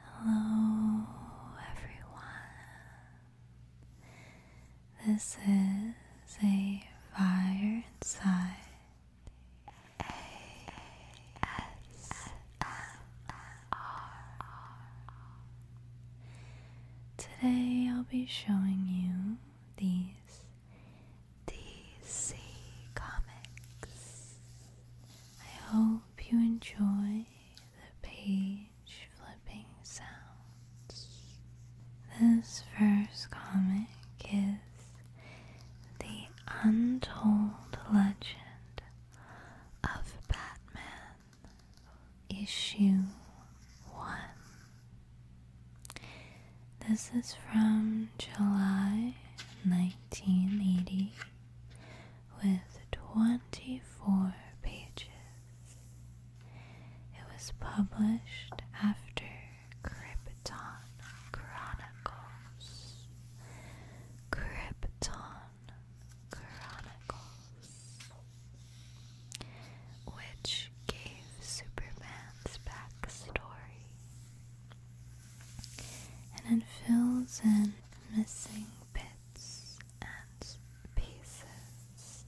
Hello, everyone. This is a fire inside A S Today I'll be showing you these DC comics. I hope Hope you enjoy the page flipping sounds. This first comic is The Untold Legend of Batman, Issue 1. This is from July 1980 with 24 pages. It was published after Krypton Chronicles. Krypton Chronicles, which gave Superman's backstory and it fills in missing bits and pieces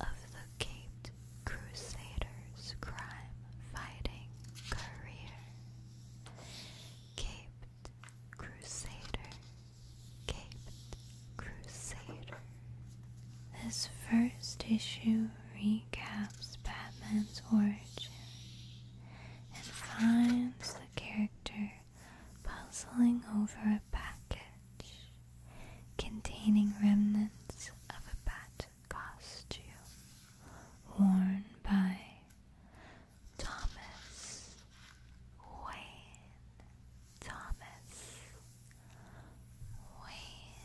of the Cape Crusaders' crime fighting career. Caped Crusader, Caped Crusader. This first issue recaps Batman's origin and finds the character puzzling over a package containing remnants of a bat costume worn by Thomas Wayne. Thomas Wayne.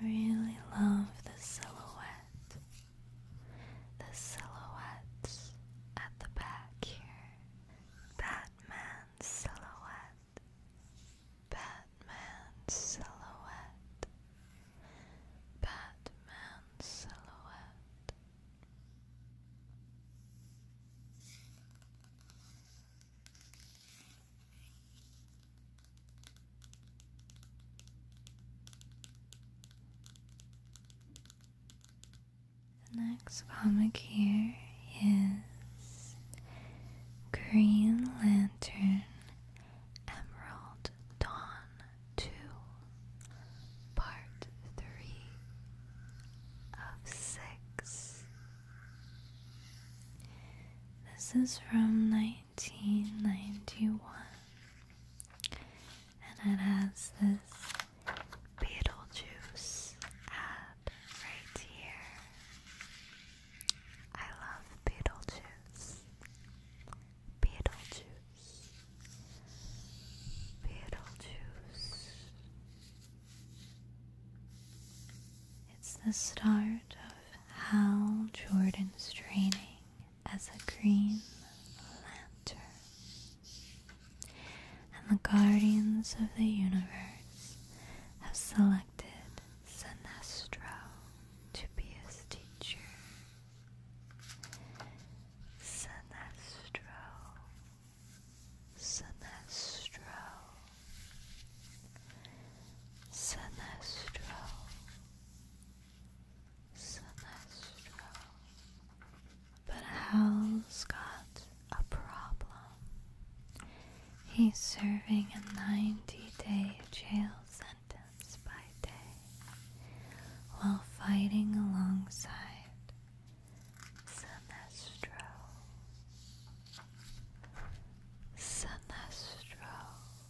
I really love the silhouette, the silhouettes at the back here. Batman silhouette, Batman silhouette, Batman silhouette. The next comic here is Green Lantern Emerald Dawn 2 Part 3 of 6. This is from 19 1991 and it has this Beetlejuice ad right here. I love Beetlejuice. Beetlejuice. Beetlejuice. It's the start of how Jordan's training as a Green Lantern. And the Guardians of the Universe have selected Sinestro to be his teacher. Sinestro. Sinestro. Sinestro, Sinestro. But Hal's got a problem. He's serving a 90 day jail sentence by day while fighting alongside Sinestro. Sinestro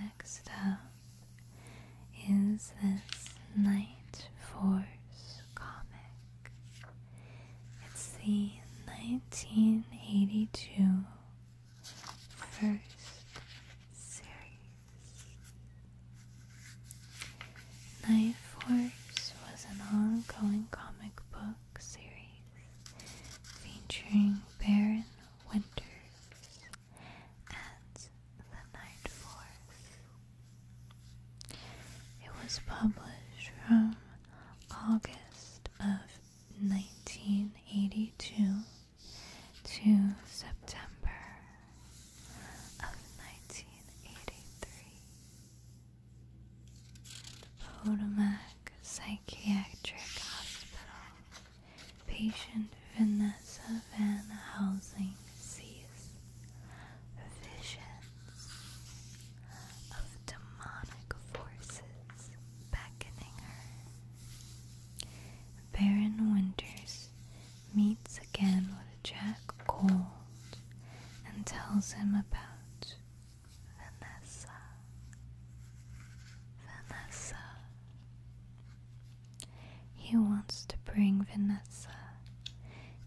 Next up is this Night Force comic. It's the 1982 first series. Night Force was an ongoing comic book series featuring Baron Winters as the Night Force. It was published from August of 1982 to September of 1983 Potomac Psychiatric Hospital. Patient Vanessa Van Housing sees visions of demonic forces beckoning her. Baron Winters meets again with Jack Cold and tells him about Vanessa. Vanessa. He wants to bring Vanessa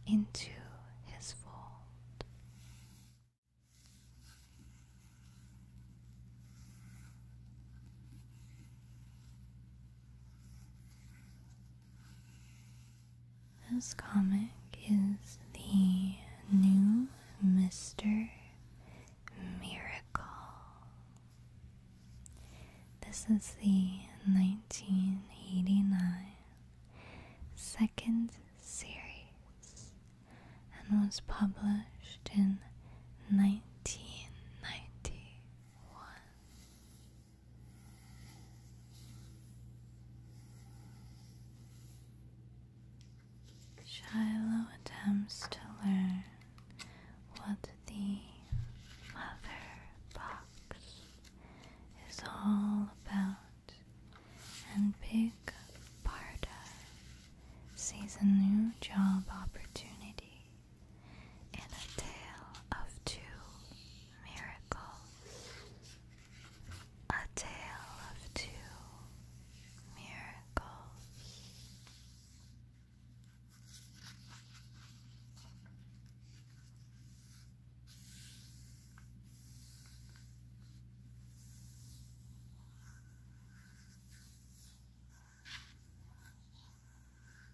into his fold. This comic is the new Mr. Miracle. This is the 1989 second series and was published in 1991. Shiloh attempts to learn what the mother box is all about, and Big Barda sees a new job opportunity in a tale of two miracles. A tale of two miracles.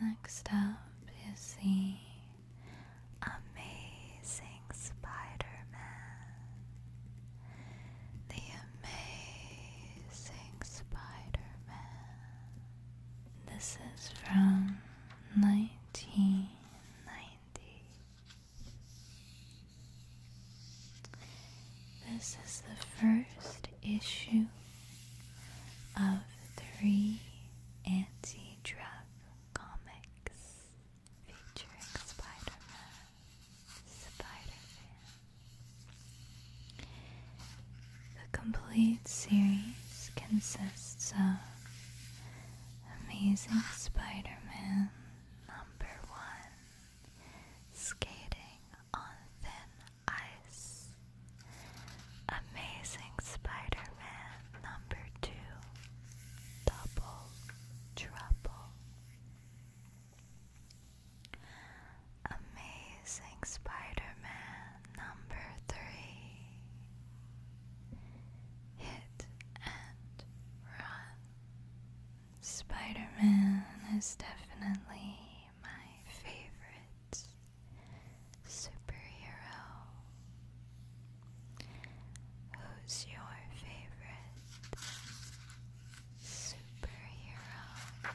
Next up is the amazing Spider Man. The amazing Spider Man. This is from nineteen ninety this is the first issue of three anti drug comics featuring Spider Man, Spider Man. The complete series consists of Amazing Spider Man number one skating on thin ice. Amazing Spider Man number two, double trouble. Amazing Spider Man number three, hit and run. Spider Man is definitely my favorite superhero. Who's your favorite superhero?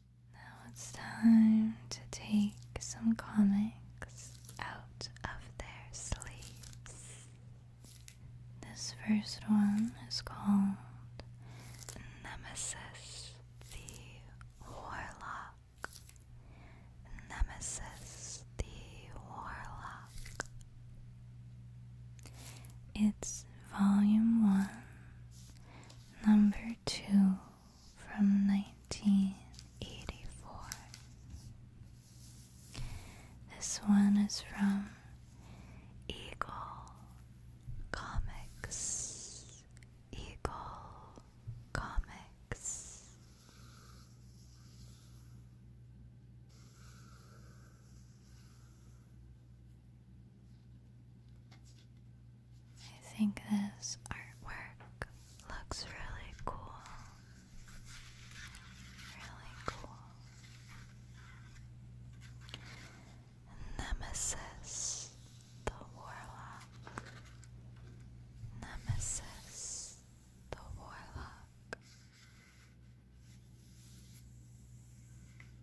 Now it's time to take some comics out of their sleeves. This first one is called Nemesis the Warlock. Nemesis the Warlock. It's volume one. Number two from 1984. This one is from Eagle Comics. Eagle Comics. I think this artwork looks really cool. Really cool. Nemesis the Warlock. Nemesis the Warlock.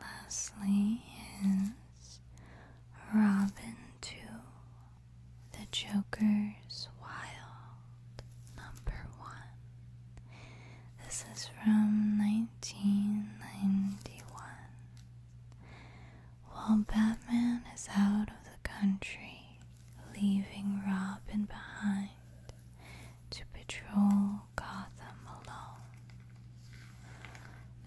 Lastly is Robin to the Joker's Wild Number One. This is from nineteen ninety one. While Batman is out of the country, leaving Robin behind to patrol Gotham alone,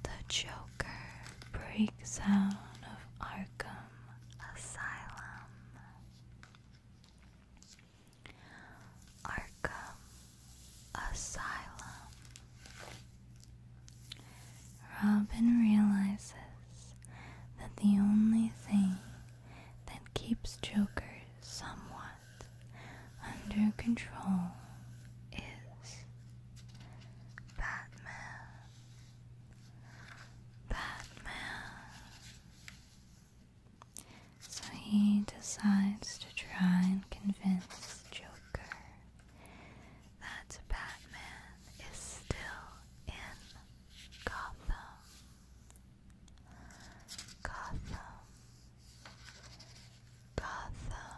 the Joker breaks out of Arkham Asylum. Arkham asylum. Robin realizes that the only thing that keeps Joker somewhat under control is Batman. Batman. So he decides to try and convince Joker that Batman is still in Gotham. Gotham. Gotham.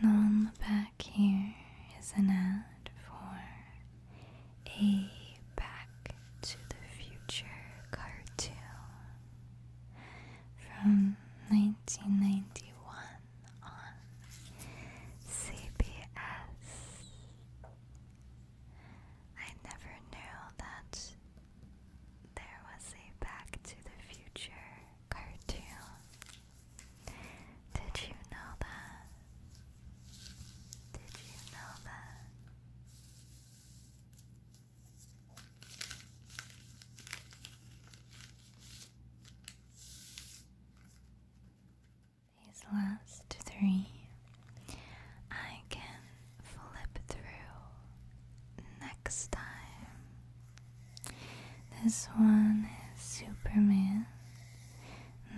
And on the back here is an ad for a Back to the Future cartoon from 1991 on CBS. I never knew that there was a Back to the Future cartoon. Did you know that? Did you know that? these last three, I can flip through next time. This one is Superman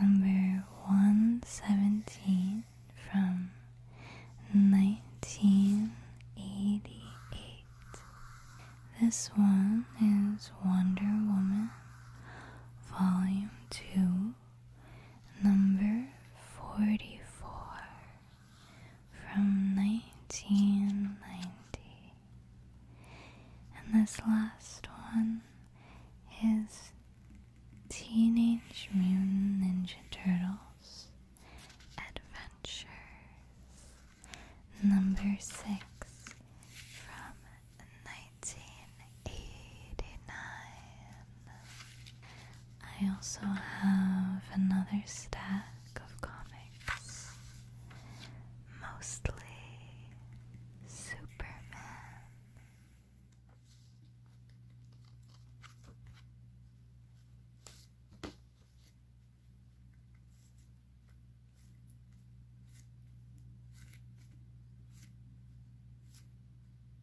number 117 from 1988. This one is Wonder Woman, Volume 2 number 44 from 1990. And this last one is Teenage Mutant Ninja Turtles Adventures number 6 from 1989. I also have another stack of comics, mostly Superman.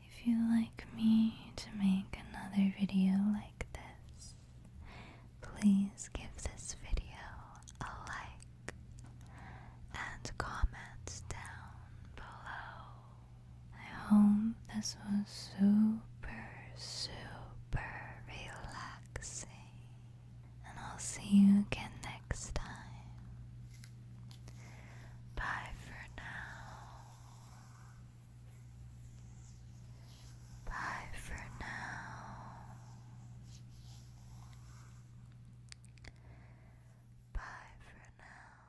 If you like me to make another video like this, please give this video a like and comment down below. I hope this was super, super relaxing. And I'll see you again next time. Bye for now. Bye for now. Bye for now.